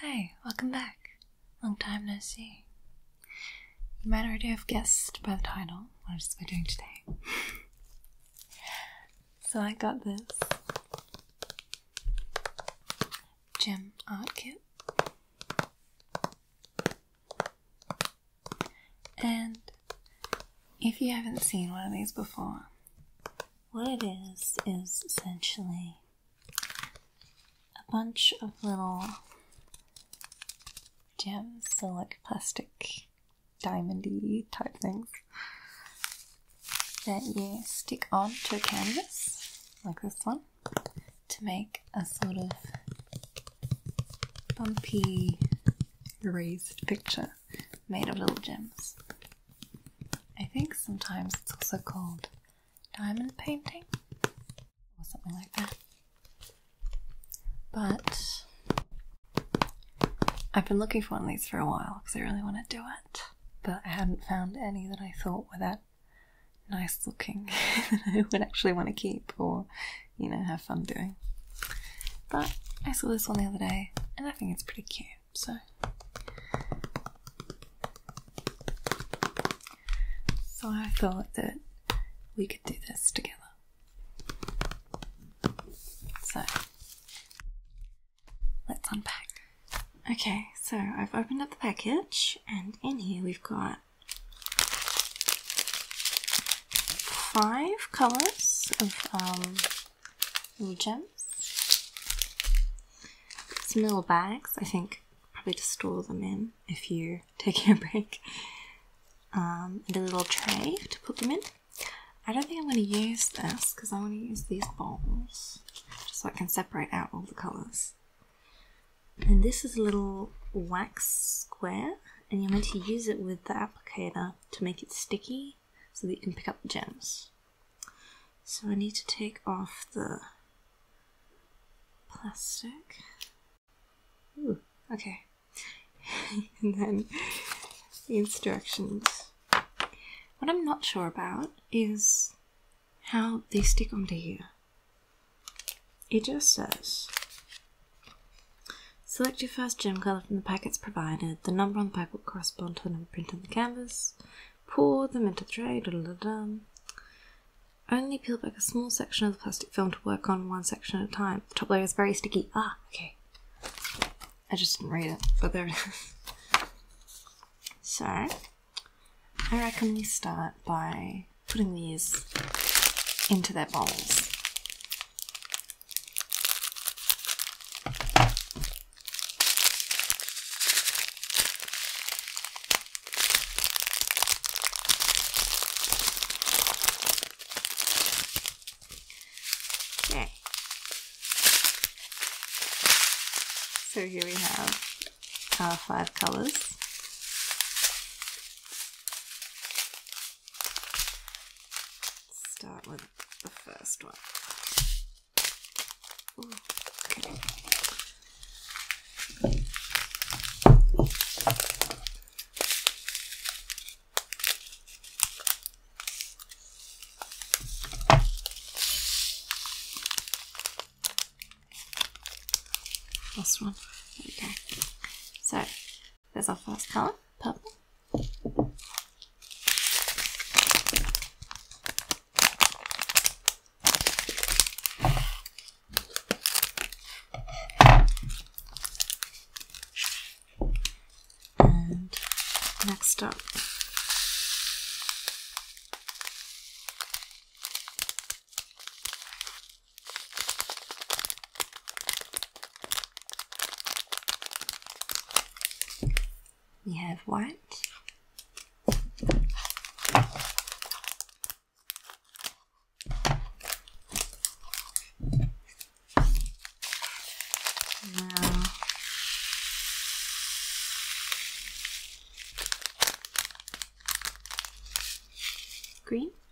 Hey, welcome back. Long time no see. You might already have guessed by the title what I'm doing today. so I got this gem art kit. And if you haven't seen one of these before, what it is is essentially a bunch of little gems, so like plastic, diamondy type things that you stick onto a canvas, like this one, to make a sort of bumpy raised picture made of little gems. I think sometimes it's also called diamond painting or something like that. But I've been looking for one of these for a while because I really want to do it, but I hadn't found any that I thought were that nice looking that I would actually want to keep or, you know, have fun doing. But I saw this one the other day and I think it's pretty cute, so. So I thought that we could do this together. So, let's unpack. Okay, so I've opened up the package, and in here we've got five colors of um, gems. Some little bags, I think, probably to store them in if you're taking a break. Um, and a little tray to put them in. I don't think I'm going to use this because I want to use these bowls just so I can separate out all the colours. And this is a little wax square, and you're meant to use it with the applicator to make it sticky so that you can pick up the gems. So I need to take off the plastic. okay. and then the instructions. What I'm not sure about is how they stick onto here. It just says Select your first gem colour from the packets provided. The number on the packet will correspond to the number printed on the canvas. Pour them into the tray. Da, da, da, Only peel back a small section of the plastic film to work on one section at a time. top layer is very sticky. Ah, okay. I just didn't read it, but there it is. So, I reckon we start by putting these into their bowls. Okay. So here we have five colours. Start with the first one. okay. This one. Okay. So there's our first colour, purple. And next up we have white. Now green.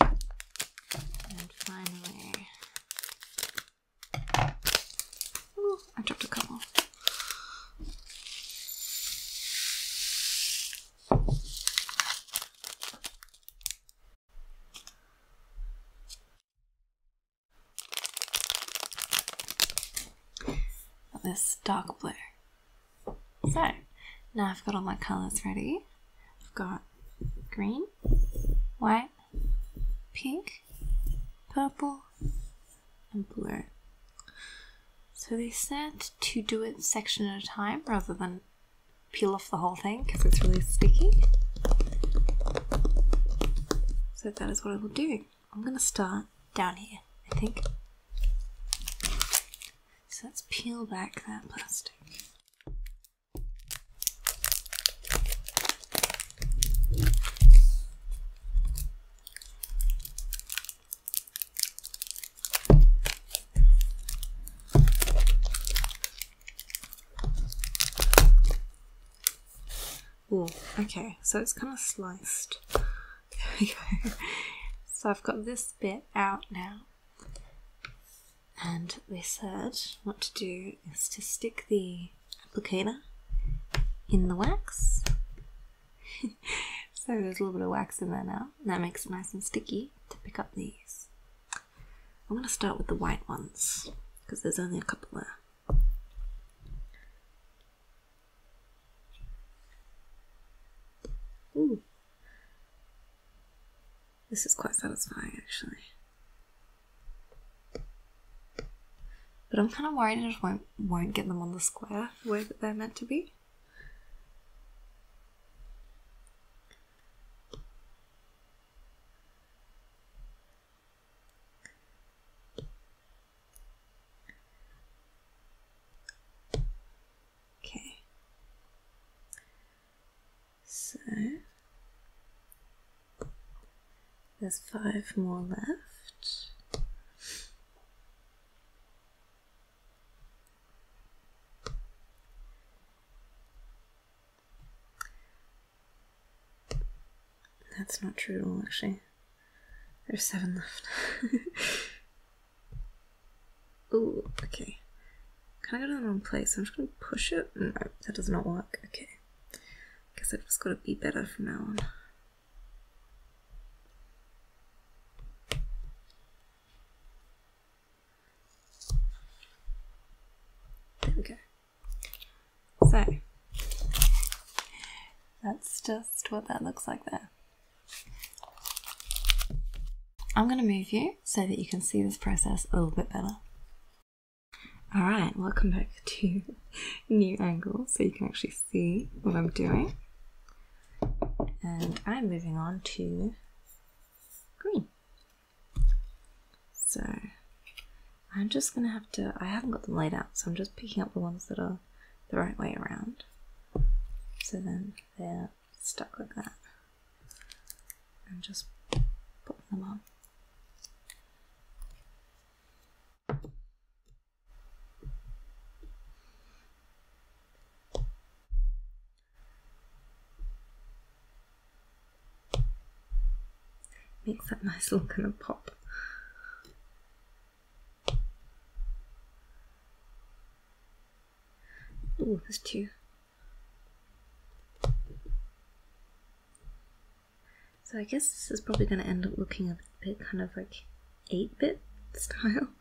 And finally, I dropped a couple. This dark blue. So now I've got all my colours ready. I've got green, white, pink, purple, and blue. So they said to do it section at a time rather than peel off the whole thing because it's really sticky. So that is what I will do. I'm going to start down here, I think. So let's peel back that plastic. Ooh, okay, so it's kind of sliced. There we go. So I've got this bit out now. And they said what to do is to stick the applicator in the wax. so there's a little bit of wax in there now. That makes it nice and sticky to pick up these. I'm going to start with the white ones because there's only a couple there. This is quite satisfying, actually. But I'm kind of worried I just won't, won't get them on the square where they're meant to be. Okay. So there's five more left. That's not true at all, actually. There's seven left. Oh, okay. Can I go to the wrong place? I'm just gonna push it. No, that does not work. Okay. Guess I've just gotta be better from now on. There we go. So, that's just what that looks like there. I'm going to move you so that you can see this process a little bit better. Alright, welcome back to new angle so you can actually see what I'm doing. And I'm moving on to green. So I'm just gonna have to I haven't got them laid out, so I'm just picking up the ones that are the right way around. So then there stuck with that and just pop them on. Makes that nice little kind of pop. Oh, there's two. So I guess this is probably going to end up looking a bit kind of like 8-bit style.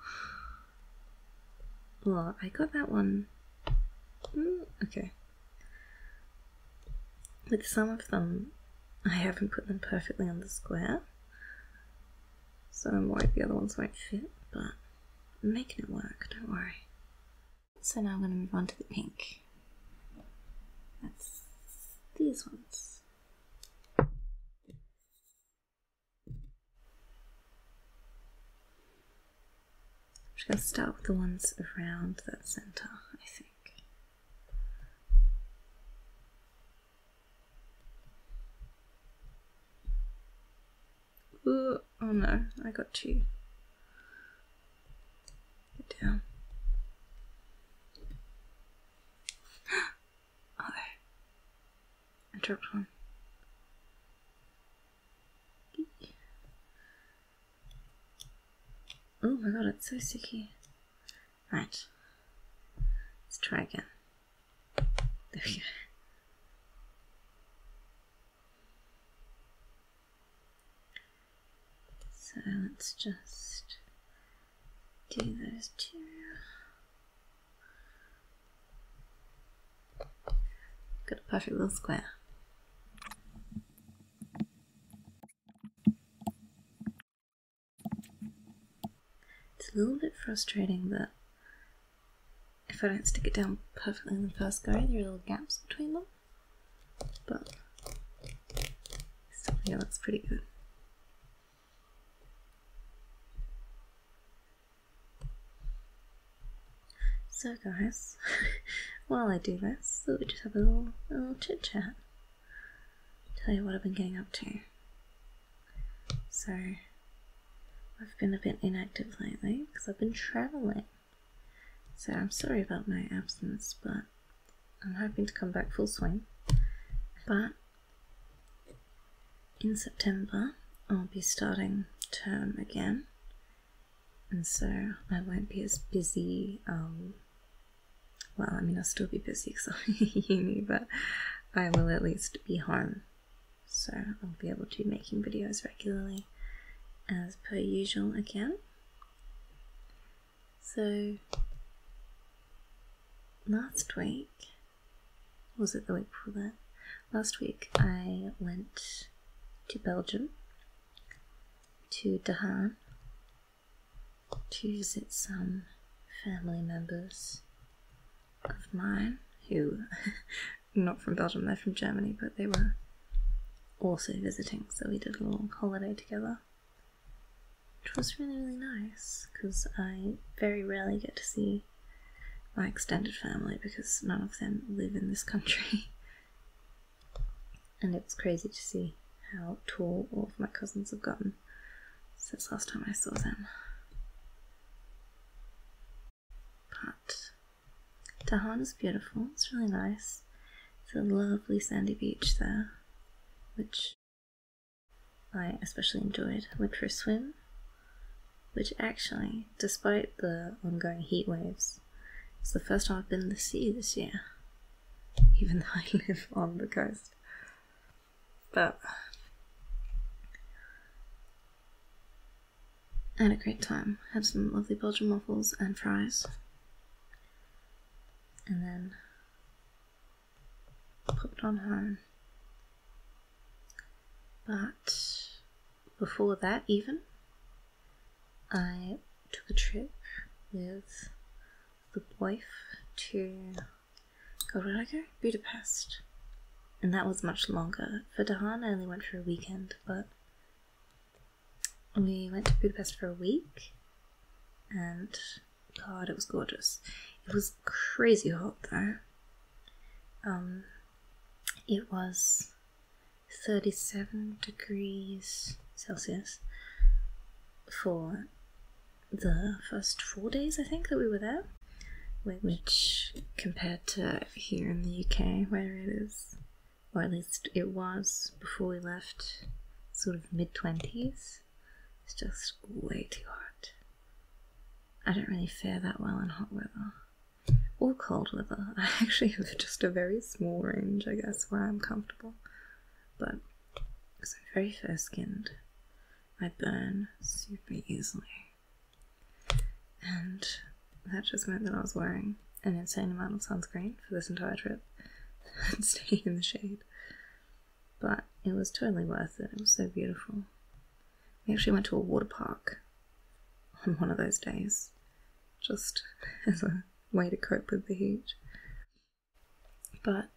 Well, I got that one. Mm, okay. With some of them, I haven't put them perfectly on the square. So I'm worried the other ones won't fit, but... I'm making it work, don't worry. So now I'm going to move on to the pink. That's these ones. I'm going to start with the ones around that centre, I think oh no, I got two. Get down. oh, I dropped one. Oh my god, it's so sticky. Right. Let's try again. There we go. So let's just do those two. Got a perfect little square. It's a little bit frustrating but if I don't stick it down perfectly in the first go, there are little gaps between them. But still think it looks pretty good. So guys, while I do this, we'll just have a little, a little chit chat. Tell you what I've been getting up to. So I've been a bit inactive lately because I've been traveling. So I'm sorry about my absence, but I'm hoping to come back full swing. But in September, I'll be starting term again, and so I won't be as busy. Um, well, I mean, I'll still be busy because I'm a uni, but I will at least be home so I'll be able to be making videos regularly as per usual again. So last week, was it the week before that? Last week I went to Belgium, to Doha to visit some family members of mine who not from Belgium, they're from Germany, but they were also visiting, so we did a long holiday together. Which was really, really nice because I very rarely get to see my extended family because none of them live in this country. and it's crazy to see how tall all of my cousins have gotten since last time I saw them. But Dahan is beautiful. It's really nice. It's a lovely sandy beach there, which I especially enjoyed. Went for a swim, which actually, despite the ongoing heat waves, it's the first time I've been in the sea this year, even though I live on the coast. But had a great time. Had some lovely Belgian waffles and fries. And then popped on home. But before that, even, I took a trip with the wife to God, where did I go? Budapest. And that was much longer. For Dahan, I only went for a weekend but we went to Budapest for a week and God, it was gorgeous. It was crazy hot though. Um, it was 37 degrees Celsius for the first four days, I think, that we were there, which compared to here in the UK, where it is, or at least it was before we left, sort of mid 20s. It's just way too hot. I don't really fare that well in hot weather or cold weather. I actually have just a very small range, I guess, where I'm comfortable. But because I'm very fair skinned, I burn super easily. And that just meant that I was wearing an insane amount of sunscreen for this entire trip and staying in the shade. But it was totally worth it, it was so beautiful. We actually went to a water park on one of those days, just as a way to cope with the heat. But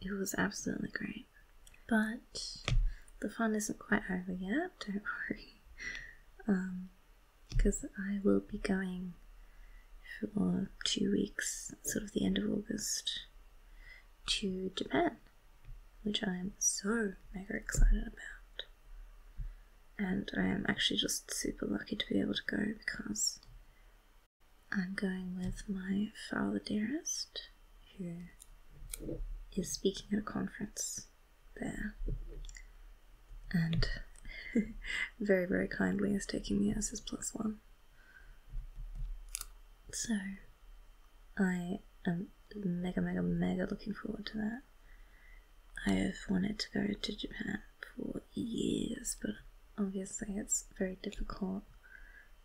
it was absolutely great. But the fun isn't quite over yet, don't worry. because um, I will be going for two weeks, sort of the end of August, to Japan, which I am so mega excited about. And I am actually just super lucky to be able to go because I'm going with my father dearest, who is speaking at a conference there. And very, very kindly is taking me as his plus one. So, I am mega, mega, mega looking forward to that. I have wanted to go to Japan for years, but obviously it's very difficult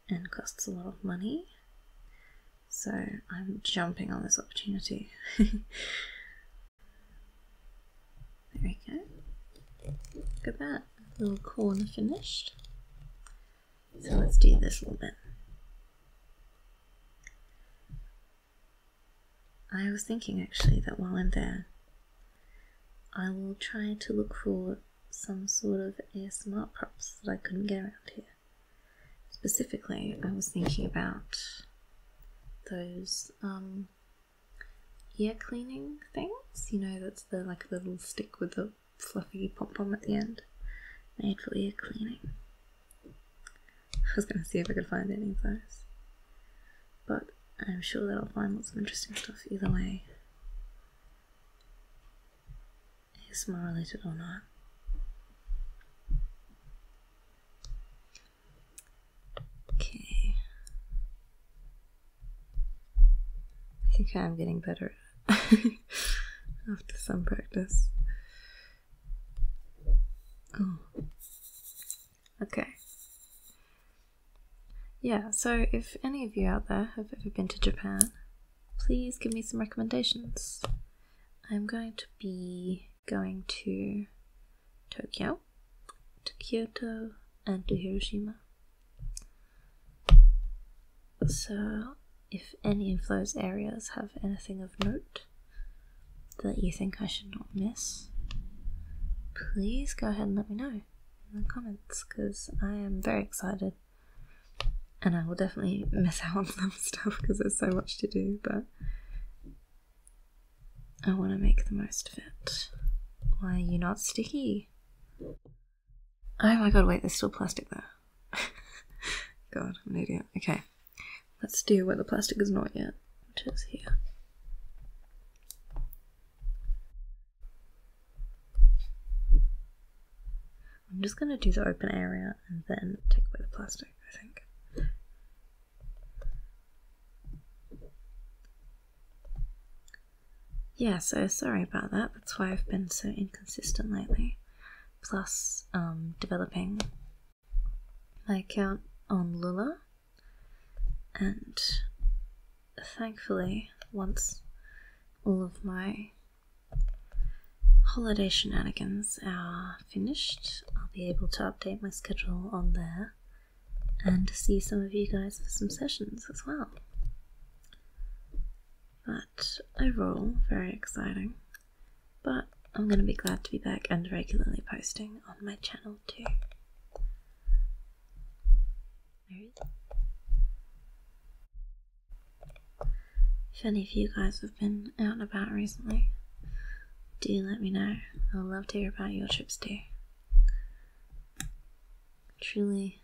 and costs a lot of money. So I'm jumping on this opportunity. there we go. Look at that. little corner finished. So let's do this little bit. I was thinking actually that while I'm there, I will try to look for some sort of smart props that I couldn't get around here. Specifically, I was thinking about those um, ear cleaning things. You know, that's the like the little stick with the fluffy pom pom at the end, made for ear cleaning. I was going to see if I could find any of those, but I'm sure that I'll find lots of interesting stuff either way more related or not. Okay. I think I'm getting better after some practice. Oh. Okay. Yeah, so if any of you out there have ever been to Japan, please give me some recommendations. I'm going to be going to Tokyo, to Kyoto, and to Hiroshima. So, if any of those areas have anything of note that you think I should not miss, please go ahead and let me know in the comments because I am very excited and I will definitely miss out on some stuff because there's so much to do, but I want to make the most of it. Why are you not sticky? Oh my god, wait, there's still plastic there. god, I'm an idiot. Okay, let's do where the plastic is not yet, which is here. I'm just going to do the open area and then take away the plastic. Yeah, so sorry about that. That's why I've been so inconsistent lately. Plus, um, developing I count on Lula, and thankfully, once all of my holiday shenanigans are finished, I'll be able to update my schedule on there and see some of you guys for some sessions as well. But overall, very exciting. But I'm going to be glad to be back and regularly posting on my channel too. If any of you guys have been out and about recently, do let me know. I would love to hear about your trips too. Truly,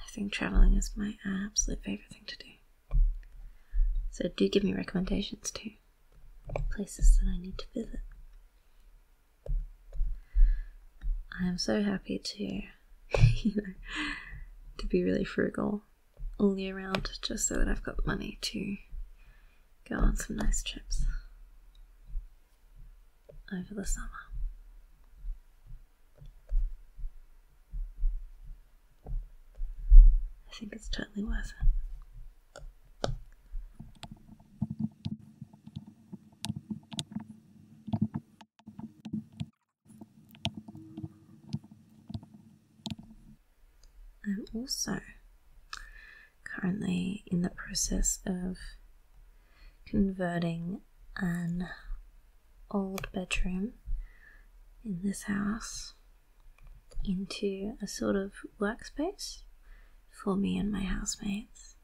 I think traveling is my absolute favorite thing to do. So do give me recommendations too. Places that I need to visit. I am so happy to, you know, to be really frugal all year round just so that I've got money to go on some nice trips over the summer. I think it's totally worth it. I'm also currently in the process of converting an old bedroom in this house into a sort of workspace for me and my housemates.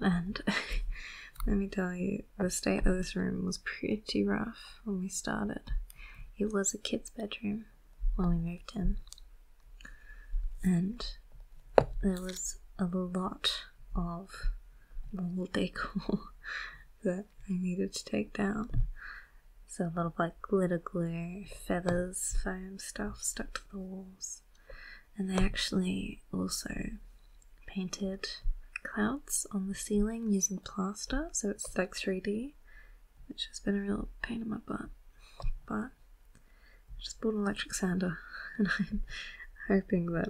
And let me tell you, the state of this room was pretty rough when we started. It was a kid's bedroom when we moved in, and there was a lot of wall decor that I needed to take down. So a lot of like glitter glue, feathers, foam stuff stuck to the walls. And they actually also painted clouds on the ceiling using plaster, so it's like 3D, which has been a real pain in my butt. But I just bought an electric sander, and I'm hoping that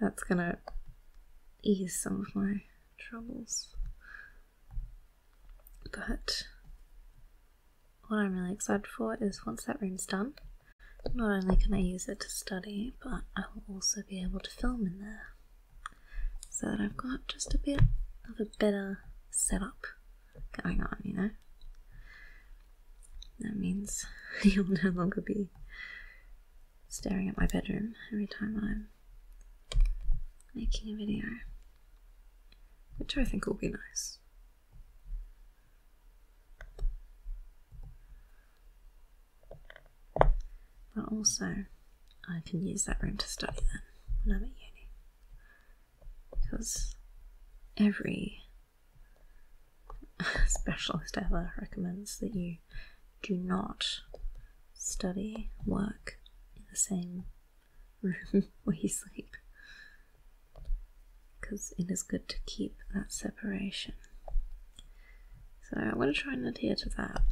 that's gonna ease some of my troubles. But what I'm really excited for is once that room's done, not only can I use it to study, but I will also be able to film in there so that I've got just a bit of a better setup going on, you know? That means you'll no longer be staring at my bedroom every time I'm making a video, which I think will be nice. But also, I can use that room to study then when I'm at uni. Because every specialist ever recommends that you do not study work in the same room where you sleep because it is good to keep that separation so I'm going to try and adhere to that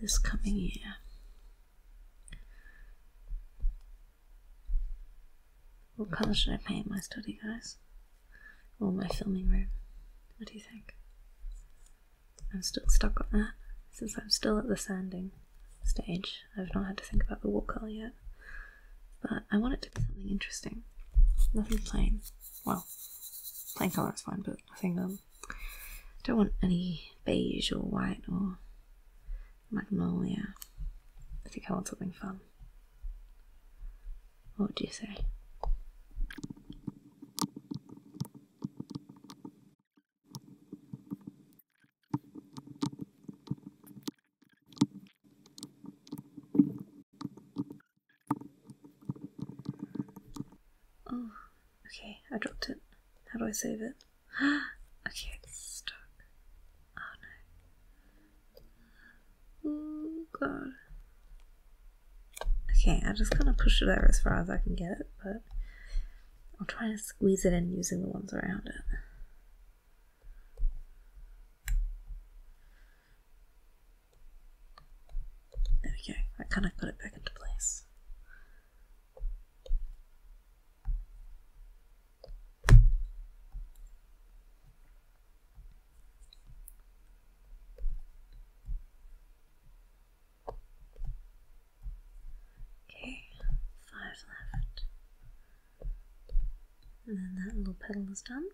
this coming year. What colour should I paint my study, guys? Or my filming room? What do you think? I'm still stuck on that since I'm still at the sanding stage. I've not had to think about the wall colour yet. But I want it to be something interesting, nothing plain well, plain colour is fine, but I think um, I don't want any beige or white or magnolia. I think I want something fun. What do you say? Oh, okay, I dropped it. How do I save it? okay, it's stuck. Oh no. Oh god. Okay, I just kind of push it over as far as I can get it, but I'll try and squeeze it in using the ones around it. There we go, I kind of got it back into place. Okay, five left. And then that little petal is done.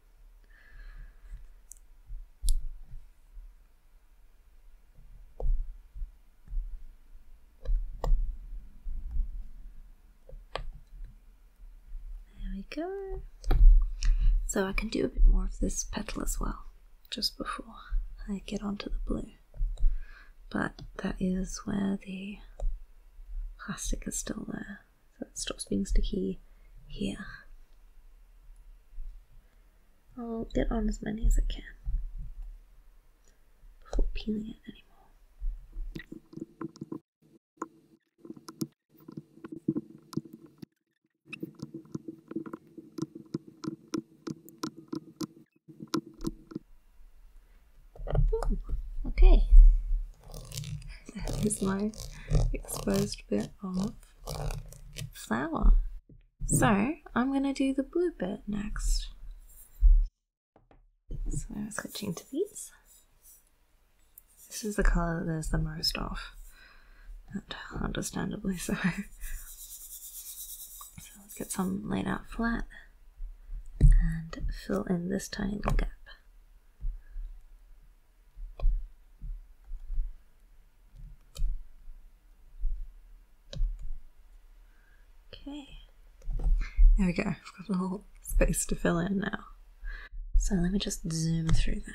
There we go. So I can do a bit more of this petal as well, just before I get onto the blue. But that is where the plastic is still there so it stops being sticky here. I'll get on as many as I can before peeling it anymore. okay, that is my exposed bit off flower. So I'm going to do the blue bit next. So I'm switching to these. This is the colour that there's the most of. understandably so. let's get some laid out flat and fill in this tiny gap. Okay. There we go. I've got a little space to fill in now. So let me just zoom through that.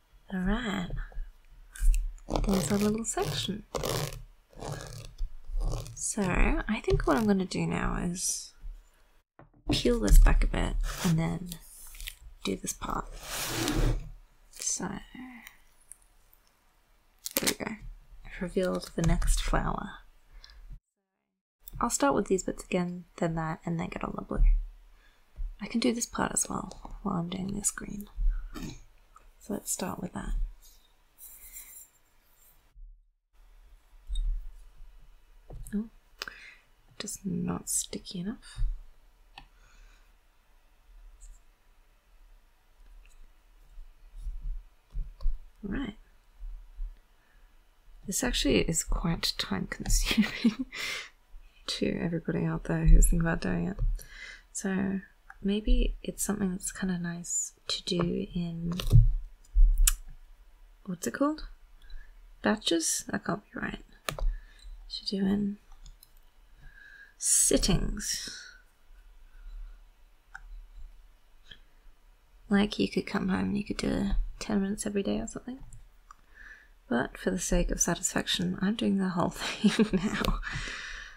Alright, there's our little section. So, I think what I'm going to do now is peel this back a bit and then do this part. So, there we go. I've revealed the next flower. I'll start with these bits again, then that, and then get on the blue. I can do this part as well while I'm doing this green. So let's start with that. Oh, just not sticky enough. Right. This actually is quite time consuming to everybody out there who's thinking about doing it. So maybe it's something that's kind of nice to do in what's it called? Batches? That can't be right. To do in sittings. Like you could come home and you could do 10 minutes every day or something. But for the sake of satisfaction, I'm doing the whole thing now.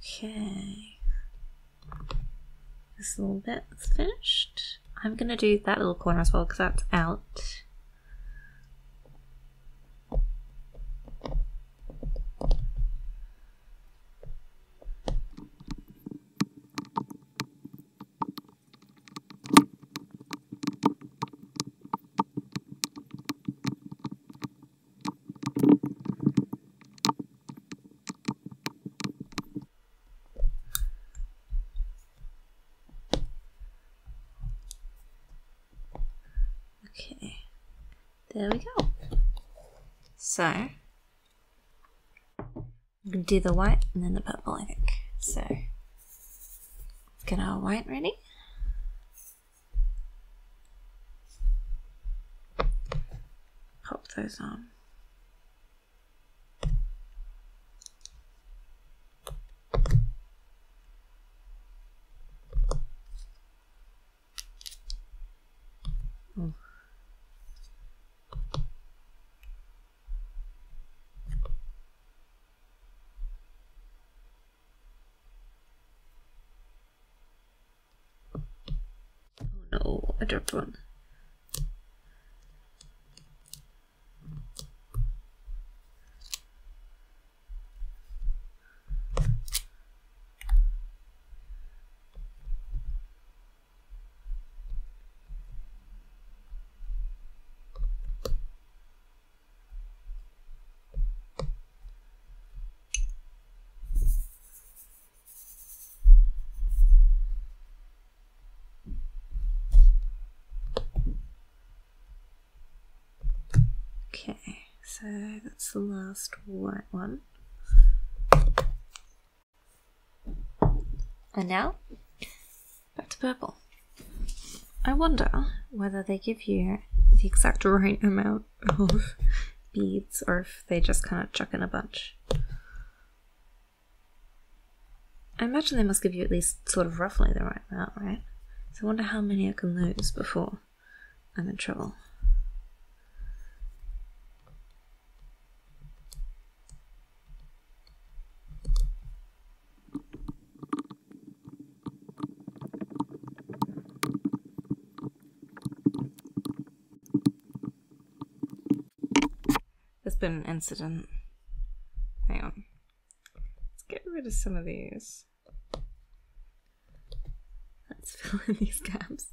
Okay. This little bit's finished. I'm going to do that little corner as well because that's out. Okay, there we go. So, I'm gonna do the white and then the purple, I think. So, get our white ready. Pop those on. Oh no, I dropped one. Okay, so that's the last white one. And now, back to purple. I wonder whether they give you the exact right amount beads or if they just kind of chuck in a bunch. I imagine they must give you at least sort of roughly the right amount, right? So I wonder how many I can lose before I'm in trouble. There's been an incident. Hang on. Let's get rid of some of these. Let's fill in these gaps.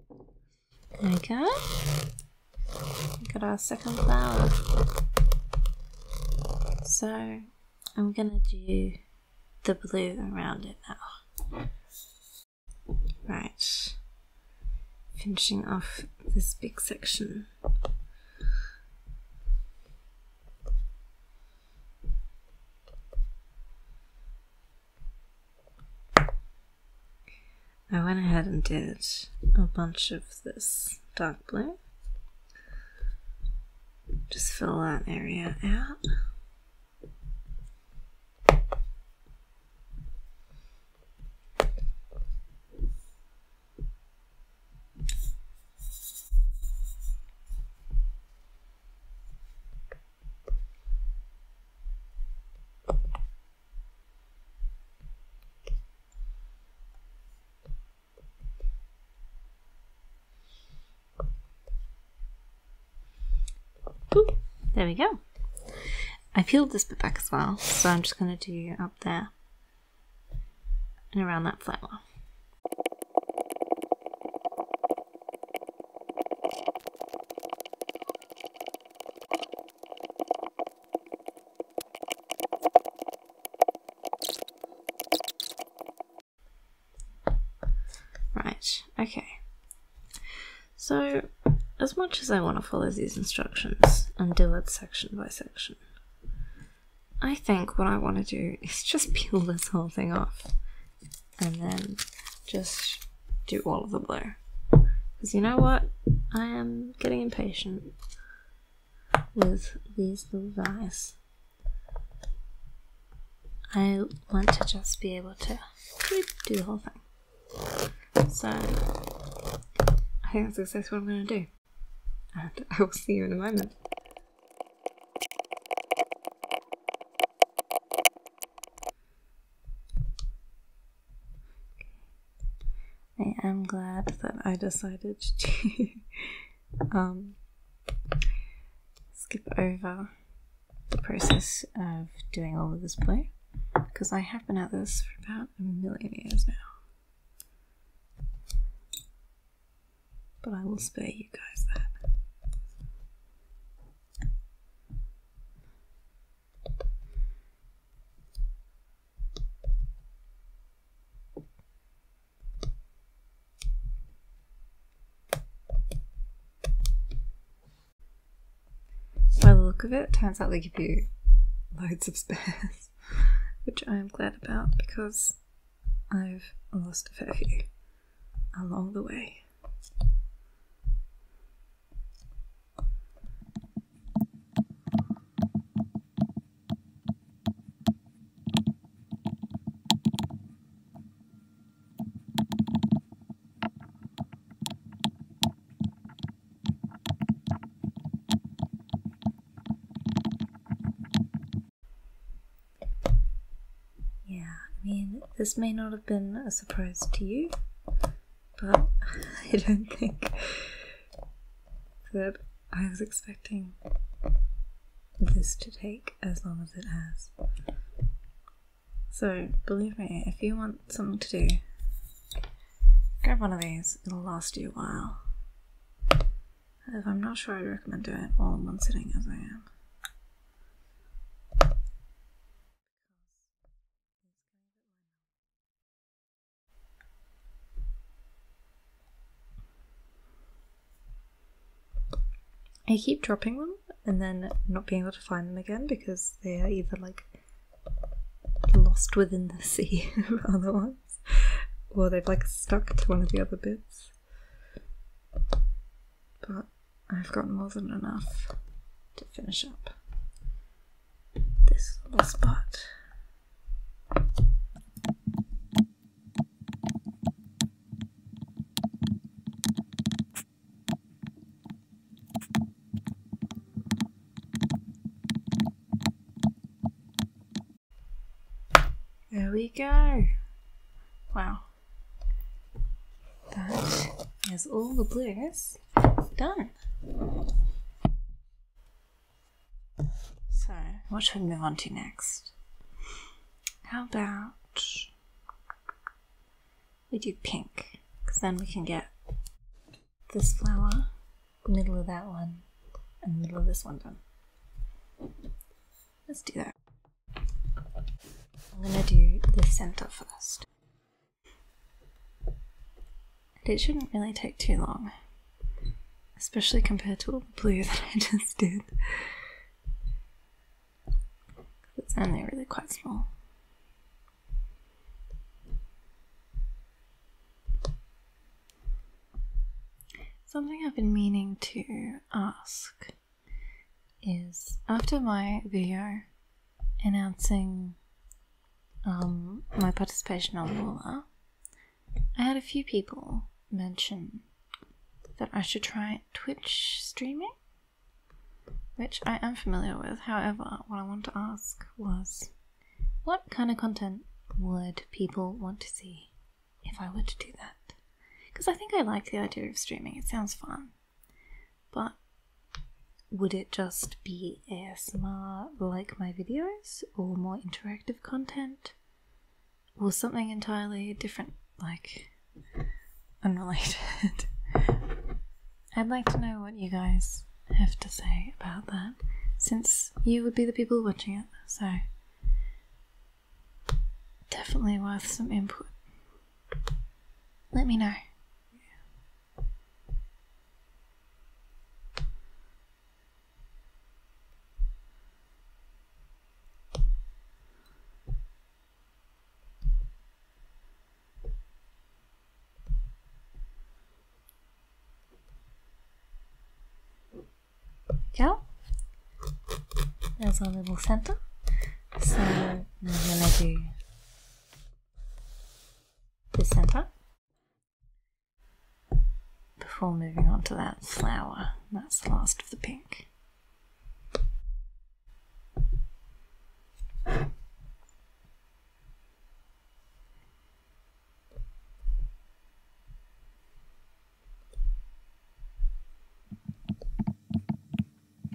There we Got our second flower. So I'm gonna do the blue around it now. Right. Finishing off this big section. I went ahead and did a bunch of this dark blue. Just fill that area out there we go. I peeled this bit back as well, so I'm just going to do up there and around that flower. Right, okay. So, as much as I want to follow these instructions and do it section by section, I think what I want to do is just peel this whole thing off and then just do all of the blur, Because you know what? I am getting impatient with these little guys. I want to just be able to do the whole thing. So, I think that's exactly what I'm going to do. And I will see you in a moment. I am glad that I decided to um, skip over the process of doing all of this play because I have been at this for about a million years now. But I will spare you guys that. By the look of it, it turns out they give you loads of spares, which I am glad about because I've lost a fair few along the way. Yeah, I mean, this may not have been a surprise to you, but I don't think that I was expecting this to take as long as it has. So, believe me, if you want something to do, grab one of these, it'll last you a while. If I'm not sure, I'd recommend doing it all in one sitting as I am. I keep dropping them and then not being able to find them again because they are either like lost within the sea of other or they've like stuck to one of the other bits. But I've got more than enough to finish up this little spot. There we go. Wow. That is all the blues done. So, what should we move on to next? How about we do pink? Because then we can get this flower, the middle of that one, and the middle of this one done. Let's do that. I'm gonna do the center first. And it shouldn't really take too long, especially compared to all the blue that I just did. It's only really quite small. Something I've been meaning to ask is after my video announcing um, my participation on Walla, I had a few people mention that I should try Twitch streaming, which I am familiar with. However, what I wanted to ask was what kind of content would people want to see if I were to do that? Because I think I like the idea of streaming, it sounds fun. But would it just be ASMR like my videos or more interactive content or something entirely different, like unrelated? I'd like to know what you guys have to say about that since you would be the people watching it, so definitely worth some input. Let me know. Yeah. There's our little center. So I'm gonna do the center. before moving on to that flower. That's the last of the pink.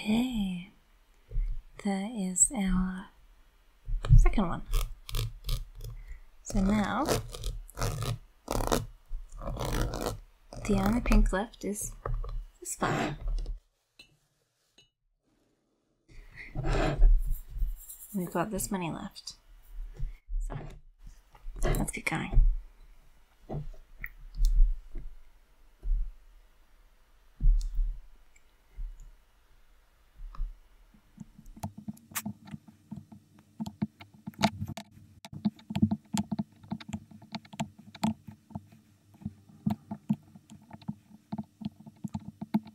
Okay, there is our second one. So now the only pink left is this one. We've got this money left. So, let's get going.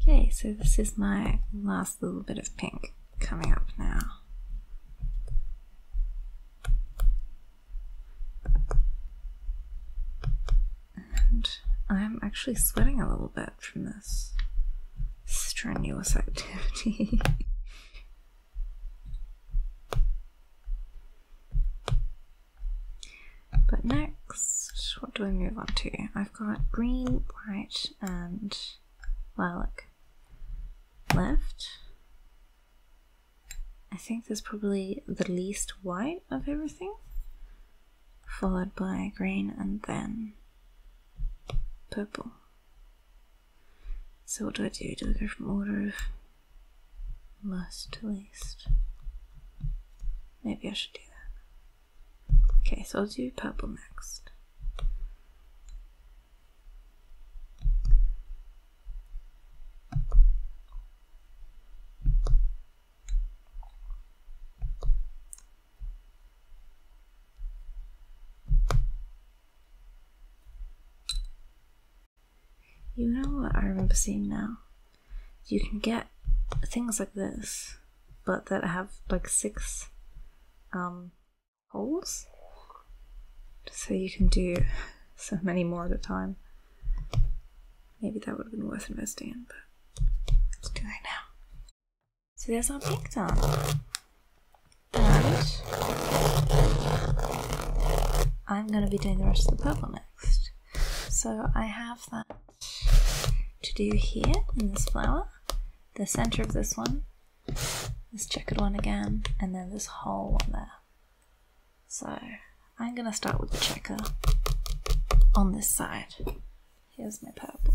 Okay, so this is my last little bit of pink coming up now. And I'm actually sweating a little bit from this strenuous activity. But next, what do we move on to? I've got green, white, and lilac left. I think there's probably the least white of everything, followed by green and then purple. So what do I do? Do I go from order of most to least? Maybe I should do that. Okay, so I'll do purple next. You know what I remember seeing now? you can get things like this, but that have like six um, holes. So you can do so many more at a time. Maybe that would have been worth investing in, but let's do that now. So there's our pink done. And I'm going to be doing the rest of the purple next. So I have that to do here in this flower, the center of this one, this checkered one again, and then this whole one there. So I'm going to start with the checker on this side. Here's my purple.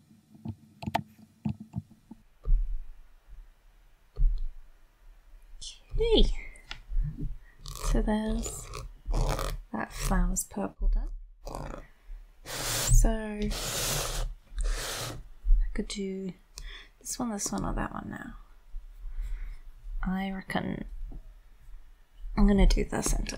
Okay. So there's that flower's purple done. So I could do this one, this one, or that one now. I reckon I'm gonna do the center.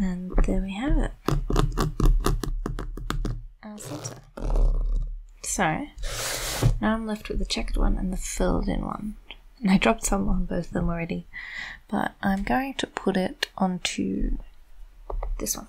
And there we have it. Our filter. now I'm left with the checked one and the filled in one. And I dropped some on both of them already, but I'm going to put it onto this one.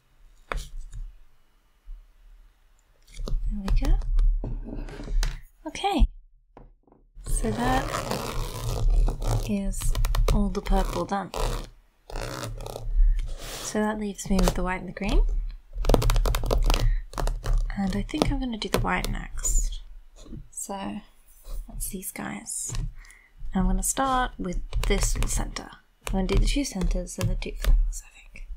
There we go. Okay. So that is all the purple done. So that leaves me with the white and the green. And I think I'm going to do the white next. So that's these guys. I'm going to start with this little centre. I'm going to do the two centers and the two flowers. I think.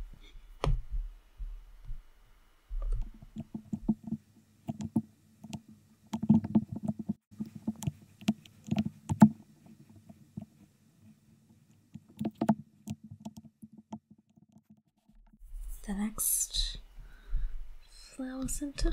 The next flower center.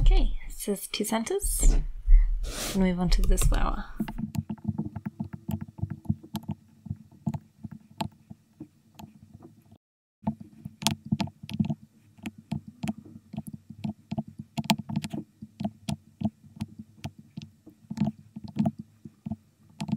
Okay, it says two centers. Let's move on to this flower.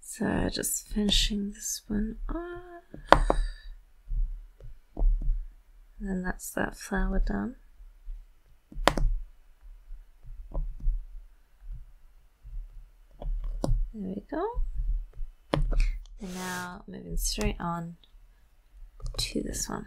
So just finishing this one off. And that's that flower done. There we go. And now moving straight on to this one.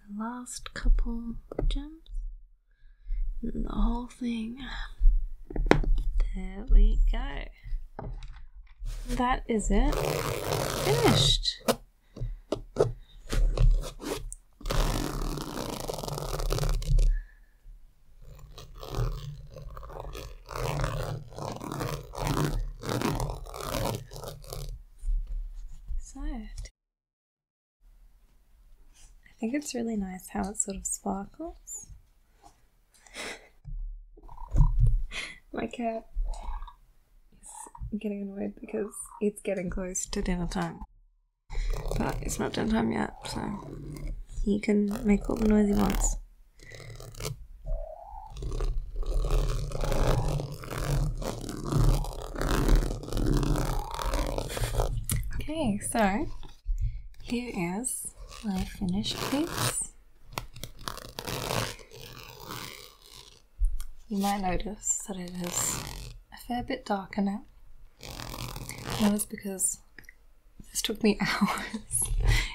The last couple gems. And the whole thing. There we go. That is it. Finished. So, I think it's really nice how it sort of sparkles. My cat is getting annoyed because it's getting close to dinner time. But it's not dinner time yet, so he can make all the noise he wants. Okay, so here is my finished piece. You might notice that it is a fair bit darker now. That was because this took me hours,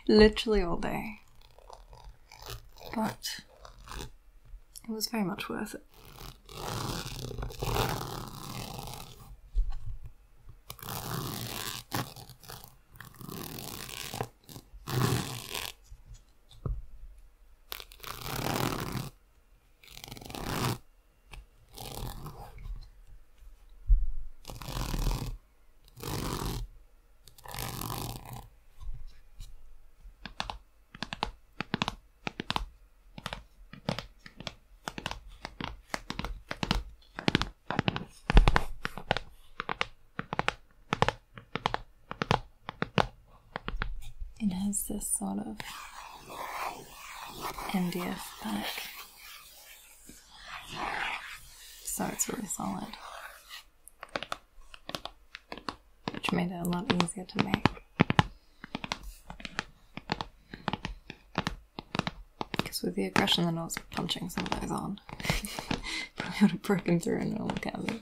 literally all day but it was very much worth it. It has this sort of MDF back, so it's really solid which made it a lot easier to make. Because with the aggression then I was punching some of those on, probably would have broken through a normal canvas.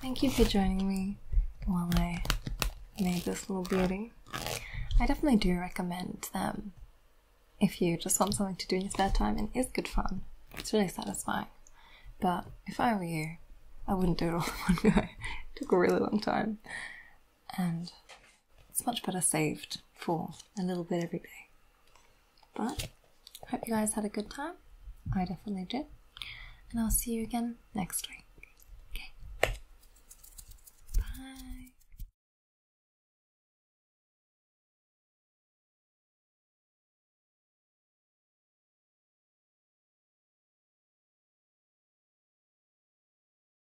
Thank you for joining me while I made this little beauty. I definitely do recommend them if you just want something to do in your spare time and is good fun. It's really satisfying. But if I were you, I wouldn't do it all in one go. it took a really long time. And it's much better saved for a little bit every day. But hope you guys had a good time. I definitely did. And I'll see you again next week. Okay. Bye.